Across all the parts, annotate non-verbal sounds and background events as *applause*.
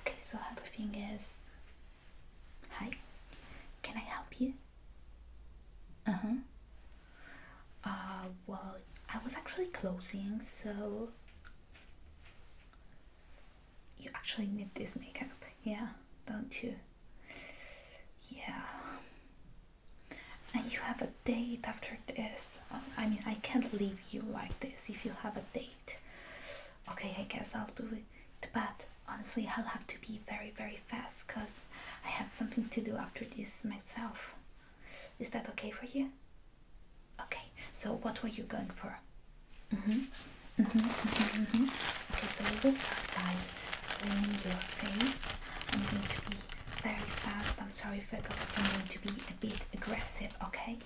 Okay, so everything is. Hi, can I help you? Uh huh. Uh, well, I was actually closing, so. You actually need this makeup, yeah, don't you? Yeah and you have a date after this um, i mean i can't leave you like this if you have a date okay i guess i'll do it but honestly i'll have to be very very fast because i have something to do after this myself is that okay for you okay so what were you going for mm -hmm. Mm -hmm, mm -hmm, okay so we will start by cleaning your face i'm going to be very fast. I'm sorry, Virgos. I'm going to be a bit aggressive, okay?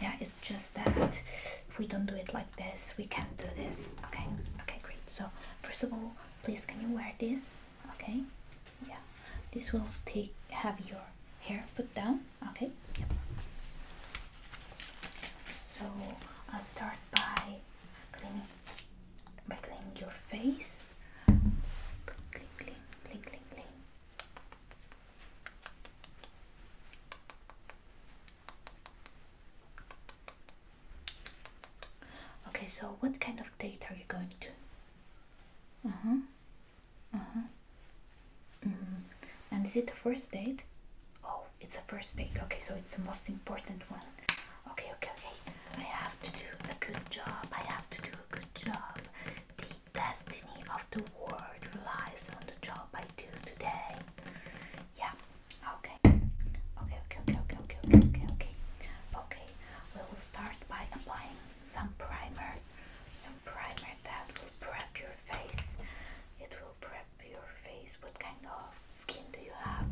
Yeah, it's just that if we don't do it like this, we can't do this. Okay, okay, great. So first of all, please can you wear this? Okay, yeah. This will take have your hair put down. Okay. Yep. So I'll start by cleaning by cleaning your face. Okay, so what kind of date are you going to? Uh huh. Uh huh. Mm -hmm. And is it the first date? Oh, it's a first date. Okay, so it's the most important one. Okay, okay, okay. I have to do a good job. I have to do a good job. The destiny of the world relies on the job I do today. Yeah. Okay. Okay, okay, okay, okay, okay, okay, okay, okay. Okay. We will start by applying some primer. Some primer that will prep your face. It will prep your face. What kind of skin do you have?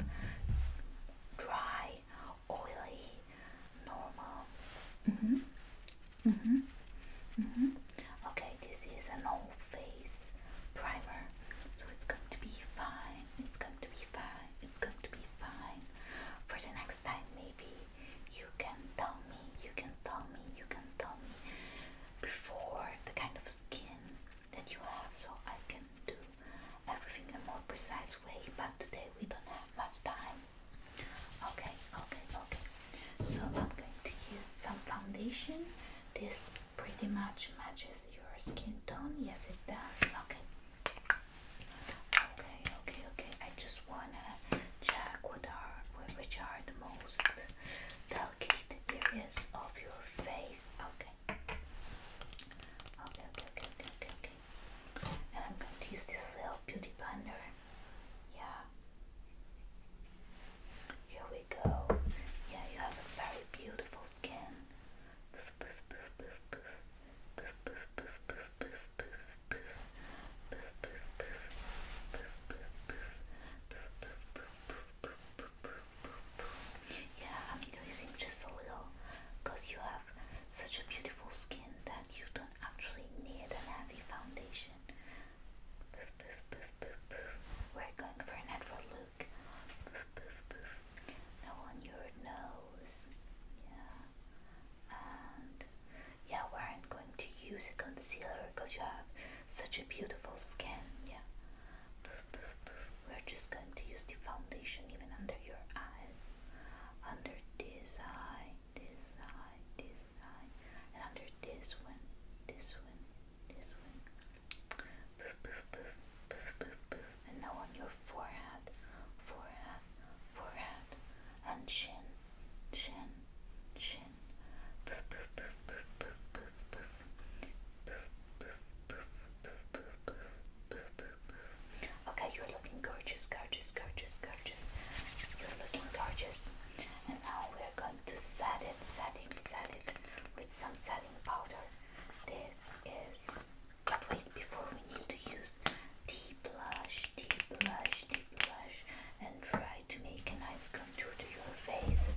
Dry oily, normal. Mm -hmm. Mm -hmm. Mm -hmm. Okay, this is an old face primer, so it's going to be fine. It's going to be fine. It's going to be fine. For the next time, maybe you can tell me. You can tell me. You can tell me before the kind of skin that you have, so I can do everything in a more precise way, but today we don't have much time. Okay, okay, okay. So I'm going to use some foundation. This pretty much matches your skin tone. Yes, it does. Okay. Okay, okay, okay. I just wanna check what are which are the most delicate areas of your face. Okay okay? Okay, okay, okay, okay, And I'm going to use this little beauty blender. Yeah. Here we go. Yeah, you have very beautiful skin. Yeah, I'm using just a little because you have such a beautiful skin that you don't actually need a heavy foundation. We're going for a natural look. Now on your nose. Yeah. And yeah, we aren't going to use a concealer because you have such a beautiful skin. Yeah we're just going to use the foundation even under your eyes under this eye this eye this eye and under this one this one this one poof poof poof poof poof poof and now on your forehead forehead forehead and chin chin chin poof poof poof poof poof poof poof poof poof poof poof poof poof poof poof Okay, you're looking gorgeous, gorgeous, gorgeous, gorgeous. You're looking gorgeous. And now we're going to set it, set it, set it with some setting powder. This is. But wait, before we need to use deep blush, deep blush, deep blush, and try to make a nice contour to your face.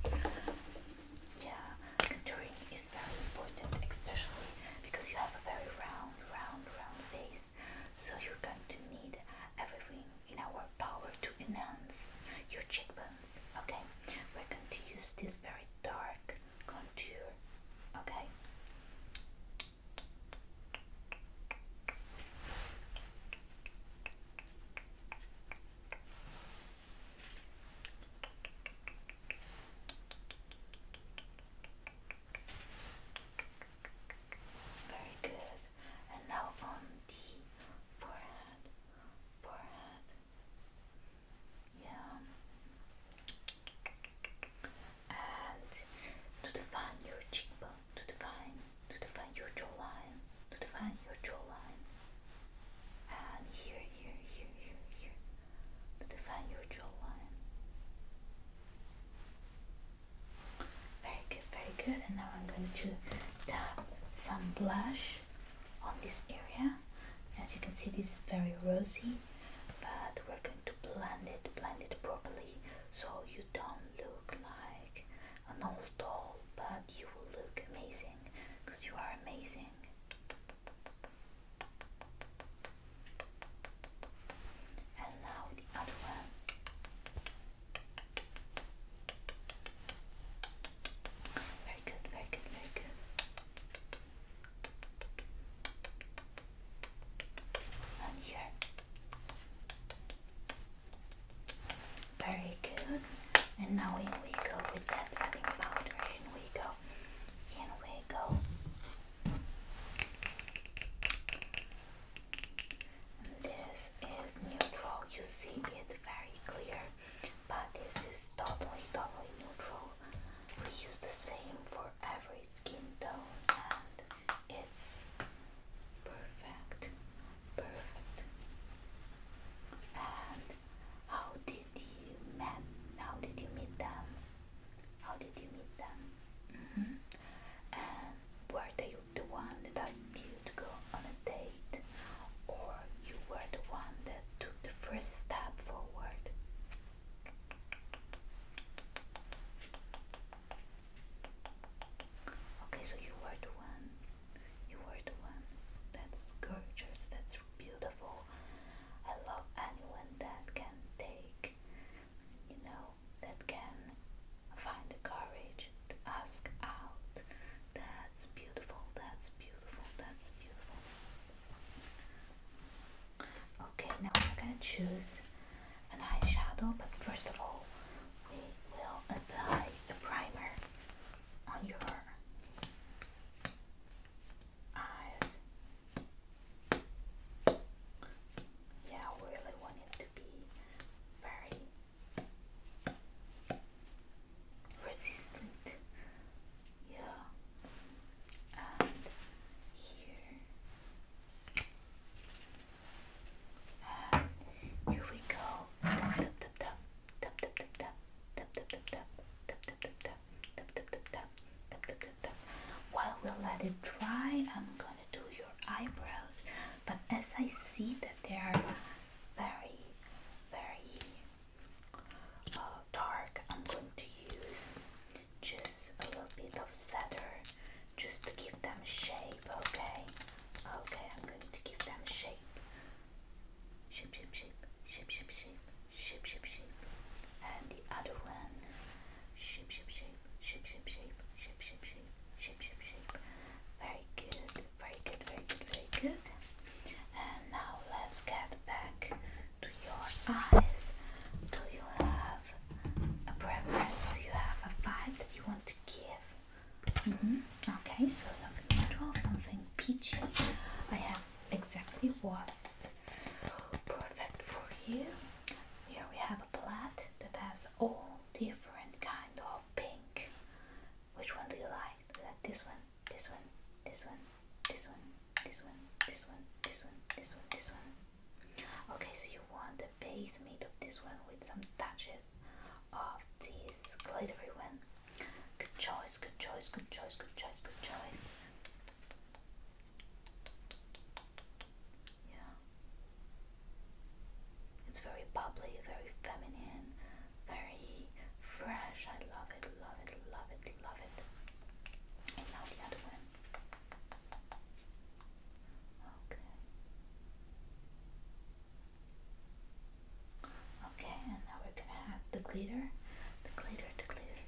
Yeah, contouring is very important, especially because you have a very round, round, round face. So you're going to need everything in our power to enhance your cheekbones. Okay, we're going to use this very dark contour. Okay. Very good. And now on the forehead, forehead. Yeah. And to define your cheekbone, to define, to define your jawline, to define your jawline. And here, here, here, here, here to define your jawline. Very good, very good. And now I'm going to tap some blush on this area. As you can see, this is very rosy, but we're going to blend it, blend it properly so you don't look like an old doll, but you will look amazing because you are amazing. And now the other one. Very good, very good, very good. And here. Very good. And now we go with that setting powder and we go in we go. this is neutral, you see it very clear, but this is totally, totally neutral. We use the same for every skin tone, and it's perfect, perfect. And how did you met? How did you meet them? How did you meet them? Mm-hmm. And were they the one that asked you to go on a date? Or you were the one that took the first step forward? Okay, so you were the one. You were the one. That's gorgeous. That's beautiful. I love anyone that can take, you know, that can find the courage to ask out. That's beautiful, that's beautiful, that's beautiful. Okay, now we're gonna choose an eyeshadow, but first of all, we will apply the primer on your eyes. Yeah, really want it to be very resistant. Yeah, and here, here we go. Tap tap tap tap tap tap tap tap tap tap tap tap tap tap tap. While we let it dry, I'm gonna do your eyebrows. But as I see that they are very, very uh, dark, I'm going to use just a little bit of cedar just to give them shape. Okay, okay, I'm going to give them Shape, shape, shape, shape, shape, shape shape, shape, shape, and the other one, shape, shape, shape, shape, shape, shape, shape, shape, shape, shape, shape, shape. Very good, very good, very good, very good. And now let's get back to your eyes. Do you have a preference? Do you have a vibe that you want to give? Mm -hmm. Okay, so something neutral, something peachy. I have exactly what's is perfect for you. Here we have a plaid that has all different kind of pink. Which one do you like? Do you like this one, this one, this one, this one, this one, this one, this one, this one, this one. Okay, so you want the base made of this one with some touches of this glittery one. Good choice, good choice, good choice, good choice, good choice. Yeah. It's very bubbly, very feminine, very fresh. I love it, love it, love it, love it. And now the other one. Okay. and now we're gonna have the glitter, the glitter, the glitter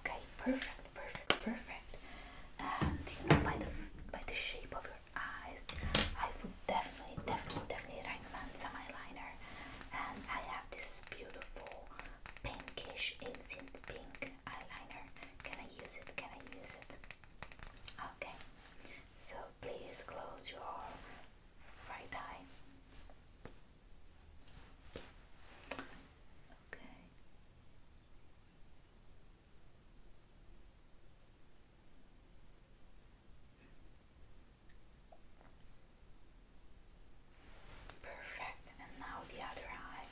Okay, perfect, perfect, perfect. And um, you know, by the by the shape of your eyes, I would definitely, definitely, definitely recommend some eyeliner. And I have this beautiful pinkish instant pink eyeliner. Can I use it? Can I use it? Okay. So please close your right eye. Okay. Perfect, and now the other eye.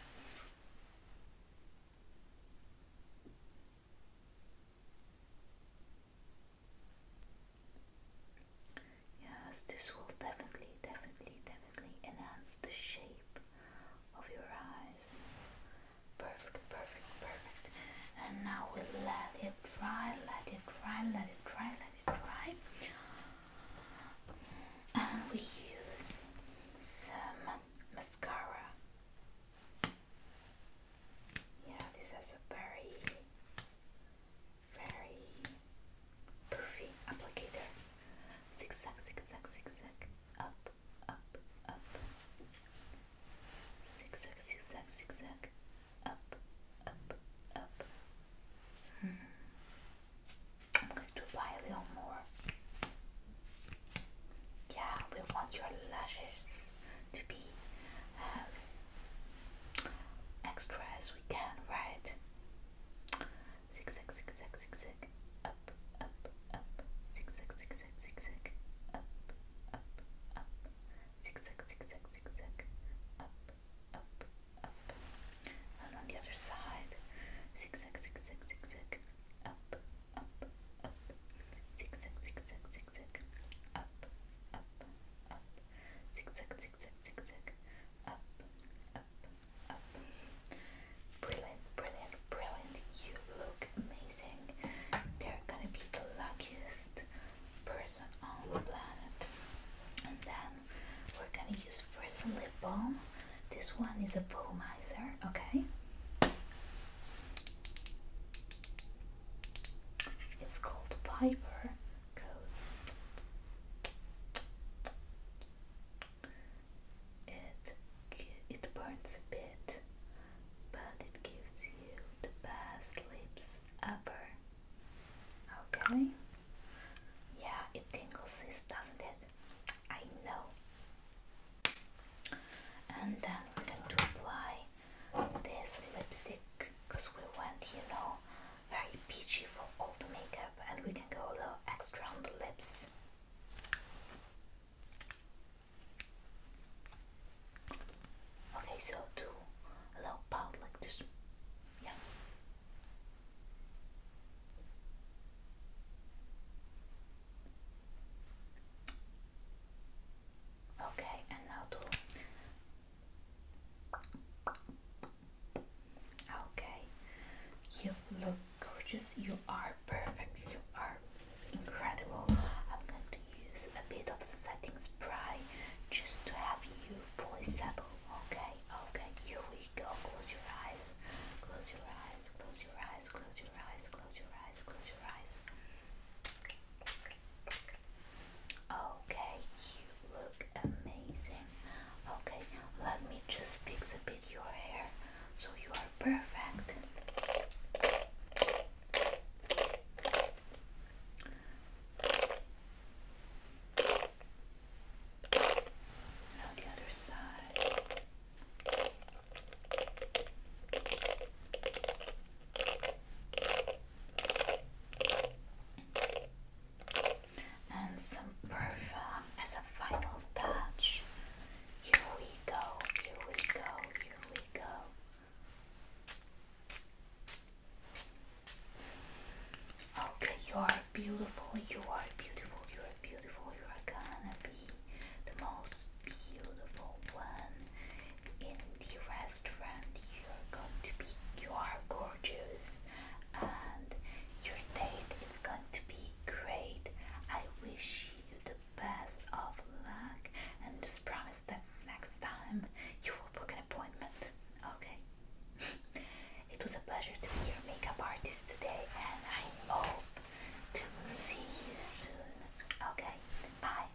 Yes, this will definitely, definitely, definitely enhance the shape of your eyes. Perfect, perfect, perfect. And now we let it dry, let it dry, let it dry, let it dry. And we use some mascara. Yeah, this is a very, very Poofy applicator. Zigzag, zigzag, zigzag. Up, up, up. Zigzag, zigzag, zigzag. Up, up, up. Hmm. I'm going to apply a little more. Yeah, we want your lashes to be as extra as we can, right? zigzag, zigzag, zigzag, up, up, up, zigzag, zigzag, zigzag, up, up, up, zigzag, zigzag, zigzag, up, up, up, and on the other side, zigzag, zigzag, zigzag, up, up, up, zigzag, zigzag, zigzag, up, up, up, zigzag, zigzag, zigzag, up, up. Brilliant, brilliant, brilliant. You look amazing. you are gonna be the luckiest person on the planet. And then we're gonna use first a lip balm. This one is a balmizer, okay? It's called Piper, Goes it it burns a bit, but it gives you the best lips ever. Okay? Yeah, it tingles, doesn't it? I know. And then we're going to apply this lipstick because we want, you know, very peachy for all the makeup and we can go a little extra on the lips. Okay, so do a little pout like this. Yeah. Okay, and now do Okay, you look gorgeous. You are perfect. You are incredible. I'm going to use a bit of the setting spray just to have you fully settled. Okay, okay, here we go. Close your eyes. Close your eyes. Close your eyes. Close your eyes. Close your eyes. Close your eyes. Okay, look amazing. Okay, let me just fix a bit your hair so you are perfect. the other side and some perfume as a final touch. Here we go, here we go, here we go. Okay, you are beautiful, you are beautiful, you are beautiful, you are gonna be the most beautiful one in the restaurant. You're going to be, you are gorgeous and your date is going to be great. I wish you the best of luck and just promise that next time you will book an appointment. Okay? *laughs* it was a pleasure to be your makeup artist today and I hope to see you soon. Okay? Bye.